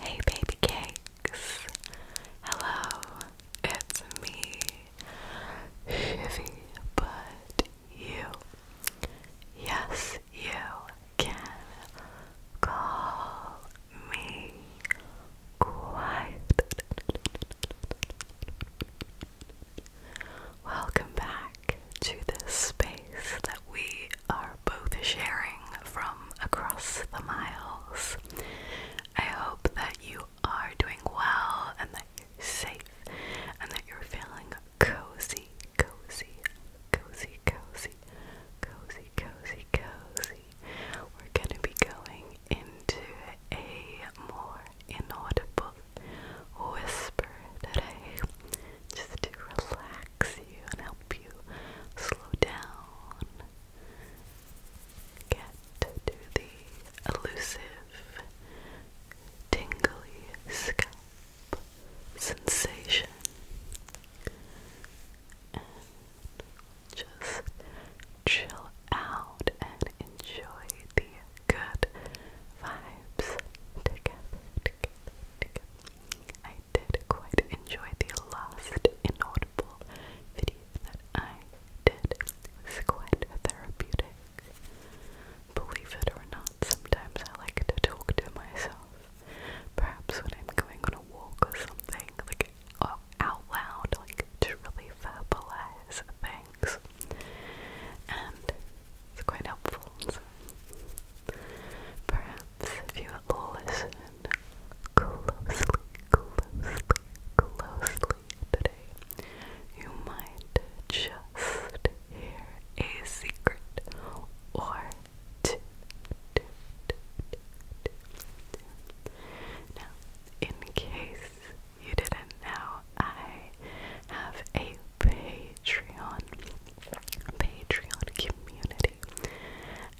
Hey, baby cakes. Hello, it's me, Shivy, but you. Yes, you can call me quiet. Welcome back to this space that we are both sharing from across the miles. I hope that you are doing well and that you're safe and that you're feeling cozy, cozy, cozy, cozy, cozy, cozy, cozy. We're gonna be going into a more inaudible whisper today, just to relax you and help you slow down. Get to the elusive, tingly sky sensation just chill out and enjoy the good vibes I did quite enjoy the last inaudible video that I did. It was quite therapeutic. Believe it or not, sometimes I like to talk to myself. Perhaps when I'm going on a walk or something, like uh, out loud, like to really verbalize things. And it's quite helpful. Perhaps if you listen closely, closely, closely today, you might just hear a secret or Now, in case you didn't know, I have a Patreon, Patreon community,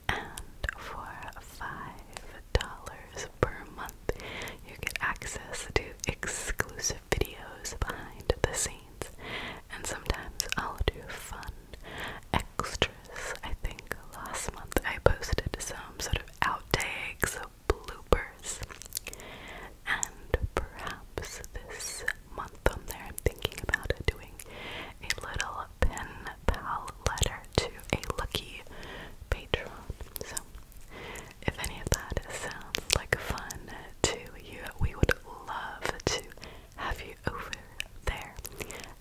and for five dollars per month, you get access to exclusive videos behind the scenes and sometimes I'll do fun extras. I think last month I posted some sort of outtakes, bloopers, and perhaps this month I'm thinking about doing a little pen pal letter to a lucky patron. So, if any of that sounds like fun to you, we would would love to have you over there.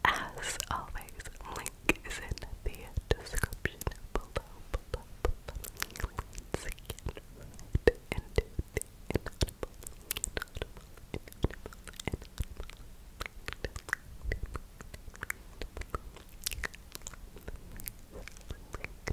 As always, link is in the description below. below, below. Let's get right into the inaudible, inaudible, inaudible, inaudible.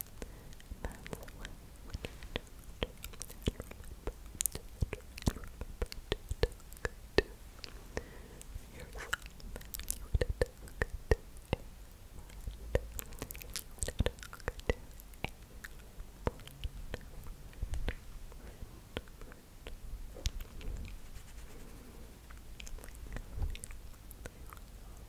That's what we need to do. And remember, to talk to yourself. You would talk to a friend. You would talk to a friend. Friend. Friend. Friend.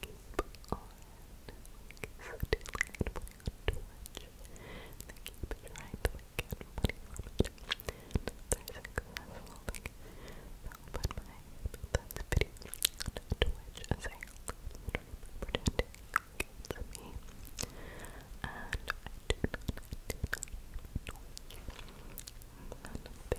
keep on so delayed play on Twitch. They keep trying to like, get money from it. And they're successful. Like they'll put my that's video on Twitch as I pretending like it's me. And I do not, I do not know. And they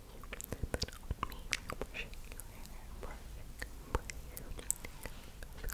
you, but on me, like pushing your hair, brushing, brushing, Good.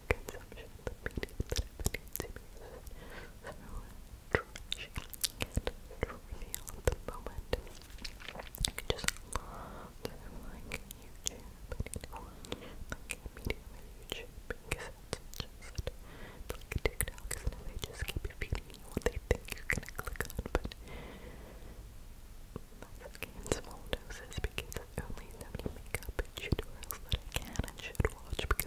consumption of the media that have been consuming so trashy and trivial the moment. I just like YouTube, but you know, like because it's just like TikTok, and they just keep feeding you what they think you're gonna click on, but that's okay in small doses because only so many makeup tutorials that I can and should watch because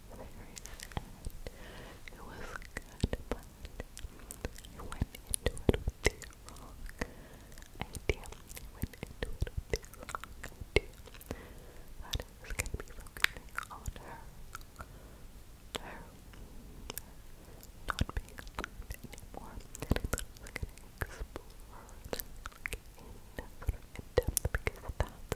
very sad. It was good, but I went into it with the wrong idea. I went into it with the wrong idea. I was going to be focusing on her. Her. Not being alive anymore. I thought explore like in depth because that's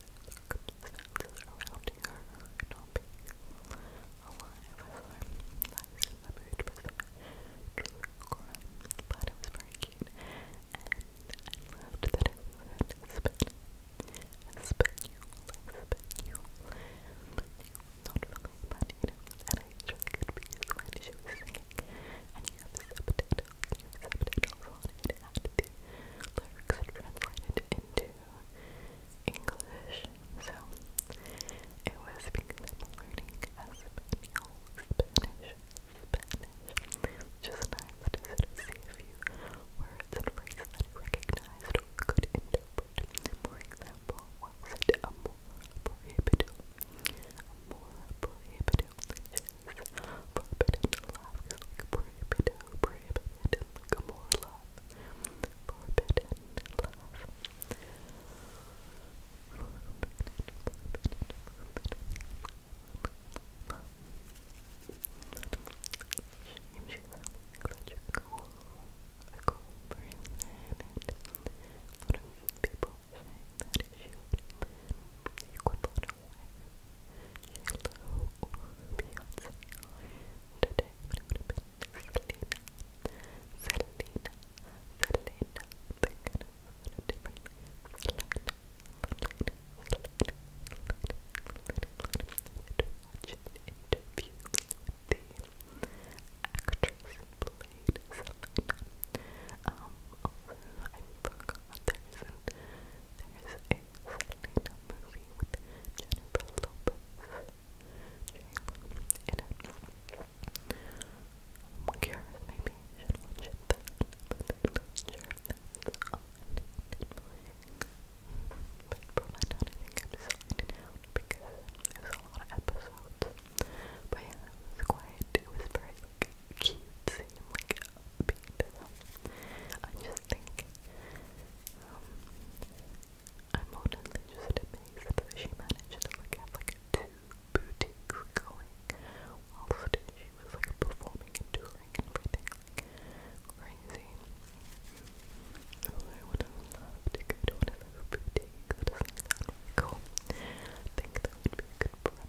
circumstances around her not being alive I was in the mood for some true crime, but it was very cute and I loved that it was an Espanol Espanol, Espanol not really, but you know, and I actually could be when she was singing and you have subtitles subtitles on it was because learning Spanish, Spanish, which nice to see a few words and phrases that I recognized or could interpret. For example, what Amor Amor Forbidden love is like prohibited, prohibited, like more love. Forbidden love. Forbidden, forbidden, forbidden love. Shame, shame, glad you're cool. I go over in there and a lot of people saying that if you, you could it away. Hello, Beyonce. Today I'm going to be Selena. Selena. Selena. They're going to put a different Selena. Selena. Selena. Selena. Watch an interview with the actress who played Selena. Um, also, I forgot there isn't there's a Selena movie with Jennifer Lopez in it. I'm curious, maybe I should watch it then, but I'm not sure if that's on But for my dad, I think I'm signing out because there's a lot of episodes. But yeah, it was quiet, it was very like, cute scene, like upbeat. I just think um, I'm honestly just amazed that she managed like have like two boutiques going whilst she was like performing and touring and everything like crazy. Oh, I would have to go to one of those boutiques. cool. think that would be a good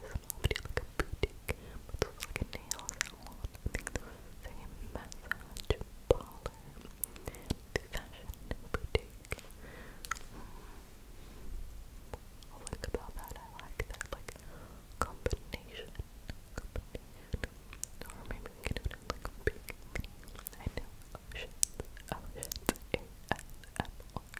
premise small video, like a boutique, but this like a nail salon. think there was a massage parlor, the fashion boutique. I'll about that. I like that, like combination, combination. Or maybe like a big. I know. Oh shit. Oh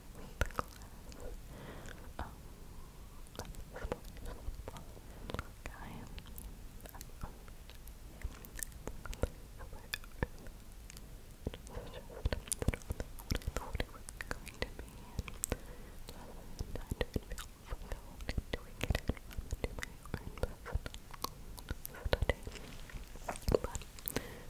the glass. Um, I am, I'm just, just what I thought it was going to be, and I don't feel fulfilled in doing it, I'd rather do my own personal study, but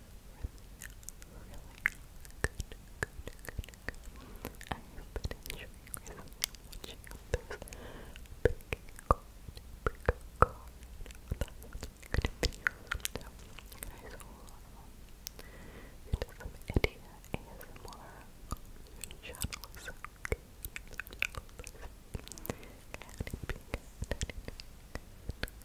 really good, good, good, good. I hope that enjoying yourself watching those big card, big card, good videos. So, guys, hold on into some India ASMR channel, so okay. Can it be good? Can it be good?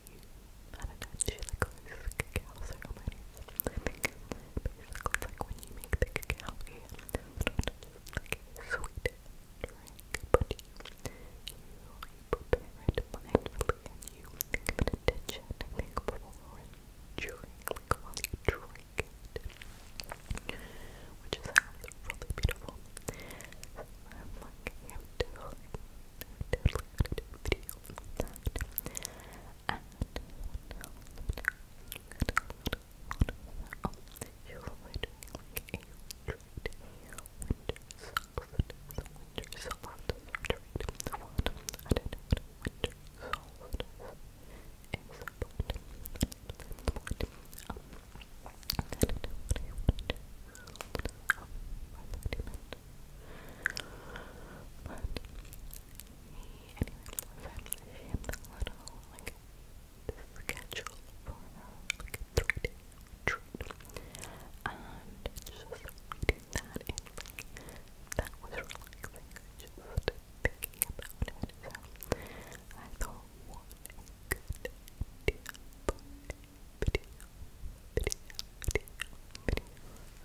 I don't know, she like loses cacao ceremonies. I basically it's like when you make the cacao a like sweet drink, but you, you prepare it mindfully and you give attention, I think, before and while you drink it. Which is um, really beautiful. I'm like, I'm do a video and oh, you were doing like a trade winter soft, the winter soft trade the one, I didn't know winter soft is a point, point, um, I didn't know what a winter soft, um, I thought you meant but he, anyway, sent him little, like, schedule for her, 3 And just reading that and, like, that was relaxing, just thinking about it. So, I thought, what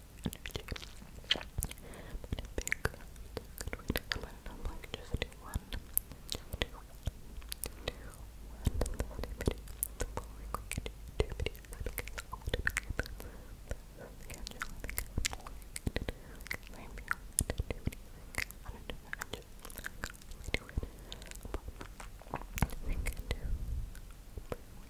energy. But a big good way to like just do one. Just do one. Do one little video. Before we can do two videos because I want to make them schedule. I think I'm going to claim you and do anything. I don't know. I'm just like, do it. But I think I do. Pretty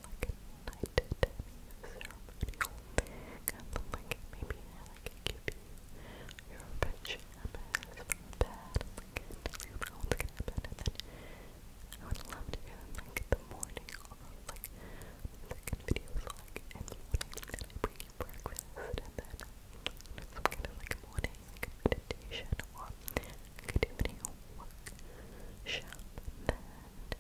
like a knighted ceremonial. Kind of like maybe like give you your pajamas from bed, like tell you about what's to happen, and I would to do them like the morning like second videos like and then I bring you and then some kind of like morning meditation a do video workshop, and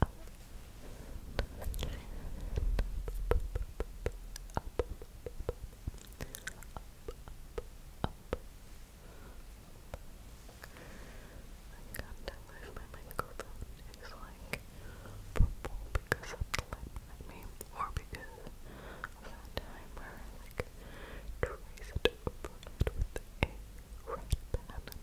I can't tell my microphone is like purple because of the light behind or because of that time where I like traced it overnight with a red pen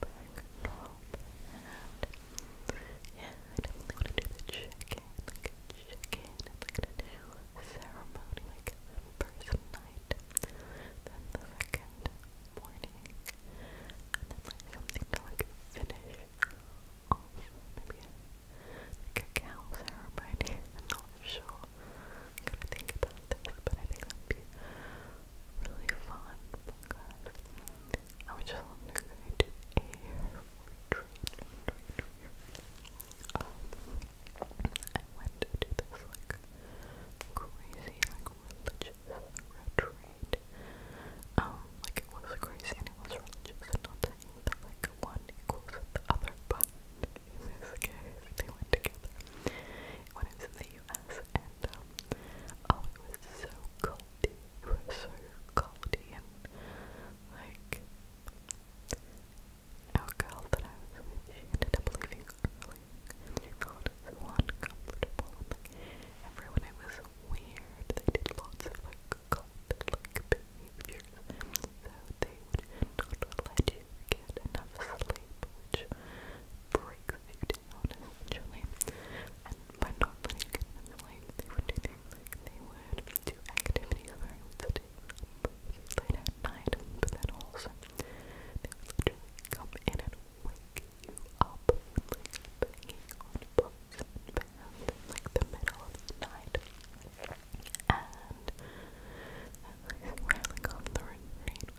back, drop, and out. Yeah, I to do the check-in, like a check ceremony, like the night, then the second morning, and then like something to like finish maybe a, cow ceremony. I'm not sure. i think about this, but I think that really fun because I would went to this like crazy like religious retreat. Um, like it was crazy and it was religious and not like one equals the other, but in this case they went together. When was the US and um, oh it was so cold it was so coldy and like our that I was she ended up leaving early and she felt so uncomfortable everyone it was weird. They did lots of like cult like behaviors. So they would not let you get enough sleep which breaks you honest, And by not putting kids in the light, they would do they would do activities where late at night, but then also they would come in and wake you up, like banging on books and like the middle of the night. And and on the retreat,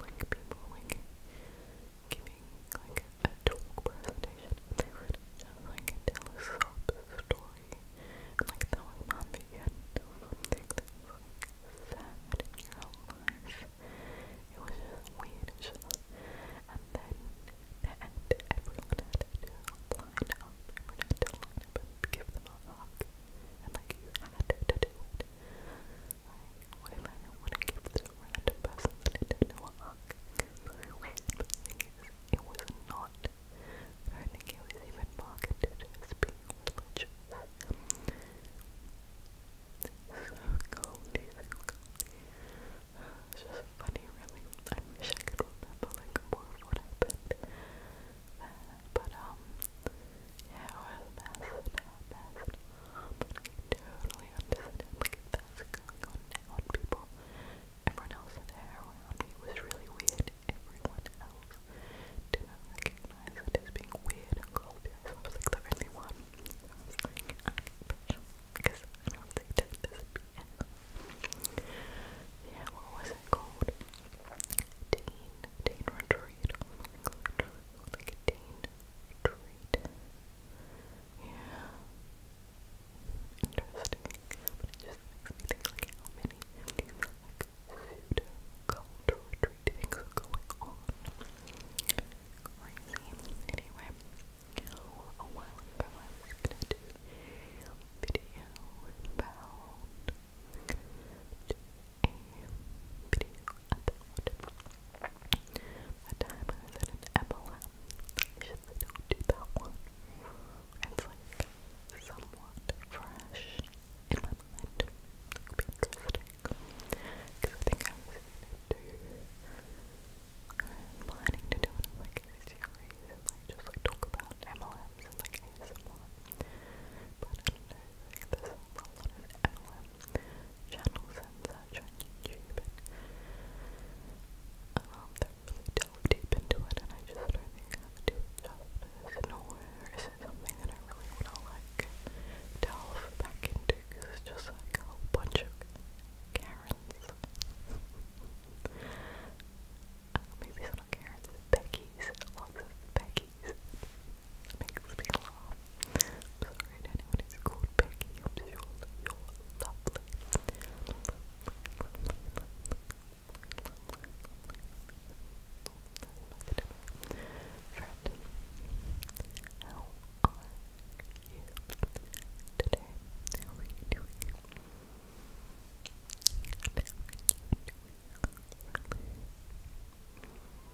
like people like giving like a talk presentation. They would just like tell a sob story. like that was not the end of It was just weird and then at the everyone had Everyone had to give them a hug. And like you had to do Like what if I want to give the random person that I did it was not I think it was even marketed as being religious so goldy, so just funny really, I wish I could remember like more of what happened but um yeah, it was a mess, but I totally understand, like, that's going on now people, everyone else there was really weird, everyone else didn't recognize it as being weird and cold, I was like the only one. Yeah, what was it called? Teen, teen retreat, oh like a retreat. Yeah. Interesting. just makes like how many like pseudo-cultural retreating are going on. Anyway, a while ago I was going a video about a video about. The an MLM, I should do that one. It's like somewhat fresh in my mind. Because I think I was do, planning to do like a series and like just like talk about MLMs and like ASMR. But I don't know, like, there's MLM channels and such on YouTube. um, they really delve deep into it, and I just don't think I would do it Nowhere is it something that I really want to like delve back into it's just like a bunch of Karens. Uh, maybe it's not Karens, Lots of Becky's. Makes me laugh. Sorry anyone who's called Peggy. I'm sure you're lovely. Friend, how are you today? How are you doing?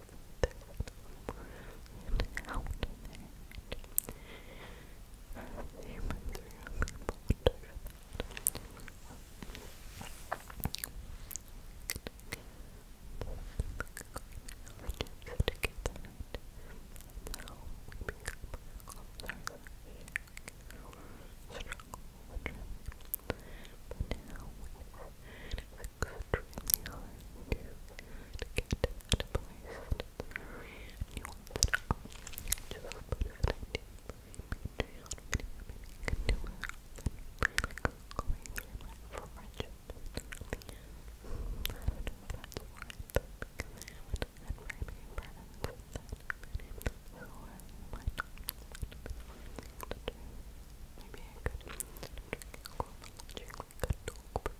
and out there. You might be able to do that. Just get that. That's how we become closer. Struggle with it. But now, with extremely hard to, to get to that place. It's very nuanced. Um, just a bit of an idea for a Patreon video. Maybe you can do a like a claim for friendship. I don't know if that's why, but because I haven't had very many friends that many, so I might not Maybe I could drink alcohol and drink like a dog, but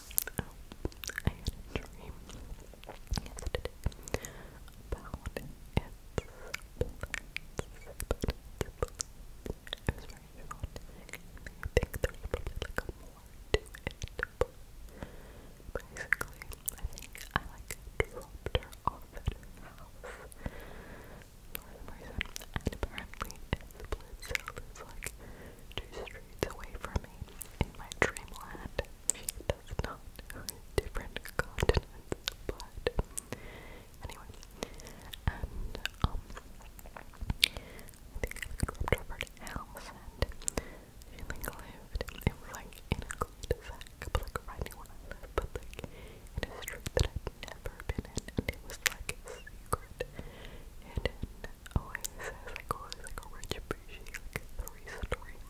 I had a dream yesterday about its It was very dramatic. I think there's probably like a more basically, I think I like dropped her off at house for some reason. And apparently, it's split cell is like two straight shades away from me in my dreamland. She does not different continents, but anyway. And um I think I looked up and she lived it was like in a cul de but like right where I live, but like in a street that i never been in and it was like a secret hidden oasis, like a rich bougie like three story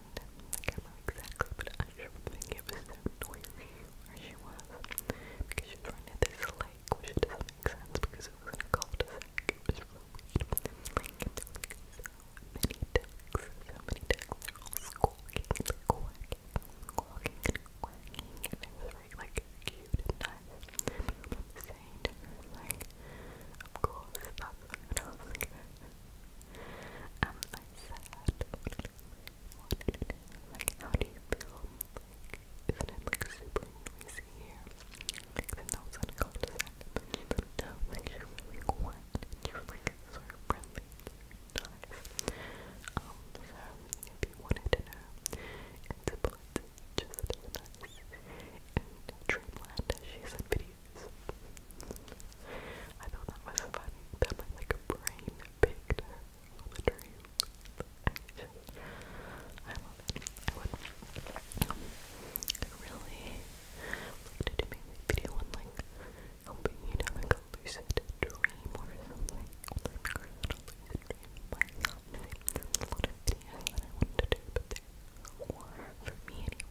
friend. I can't remember exactly, but I don't it was so noisy where she was because she was right near this lake, which doesn't make sense because it was in a cul de so many ducks, so many ducks. all squawking and quacking, squawking and it was very like cute and nice. But at the like, of course, that's what I Am Like, how do you feel? isn't it like super noisy here? Like, the notes on a cul de like, really quiet, you're like sort friendly, Um, so, if you wanted to just and dreamland she's in video face. I thought that was funny. That was like brain picture of a dream. I would really like to do maybe video on like helping you to lucid dream or something. Although i lucid dream might not be a lot I want to do, for me anyway.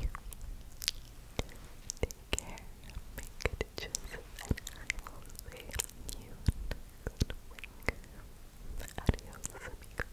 you. Take care. Make good choices, and I will see you good Adios, amigos.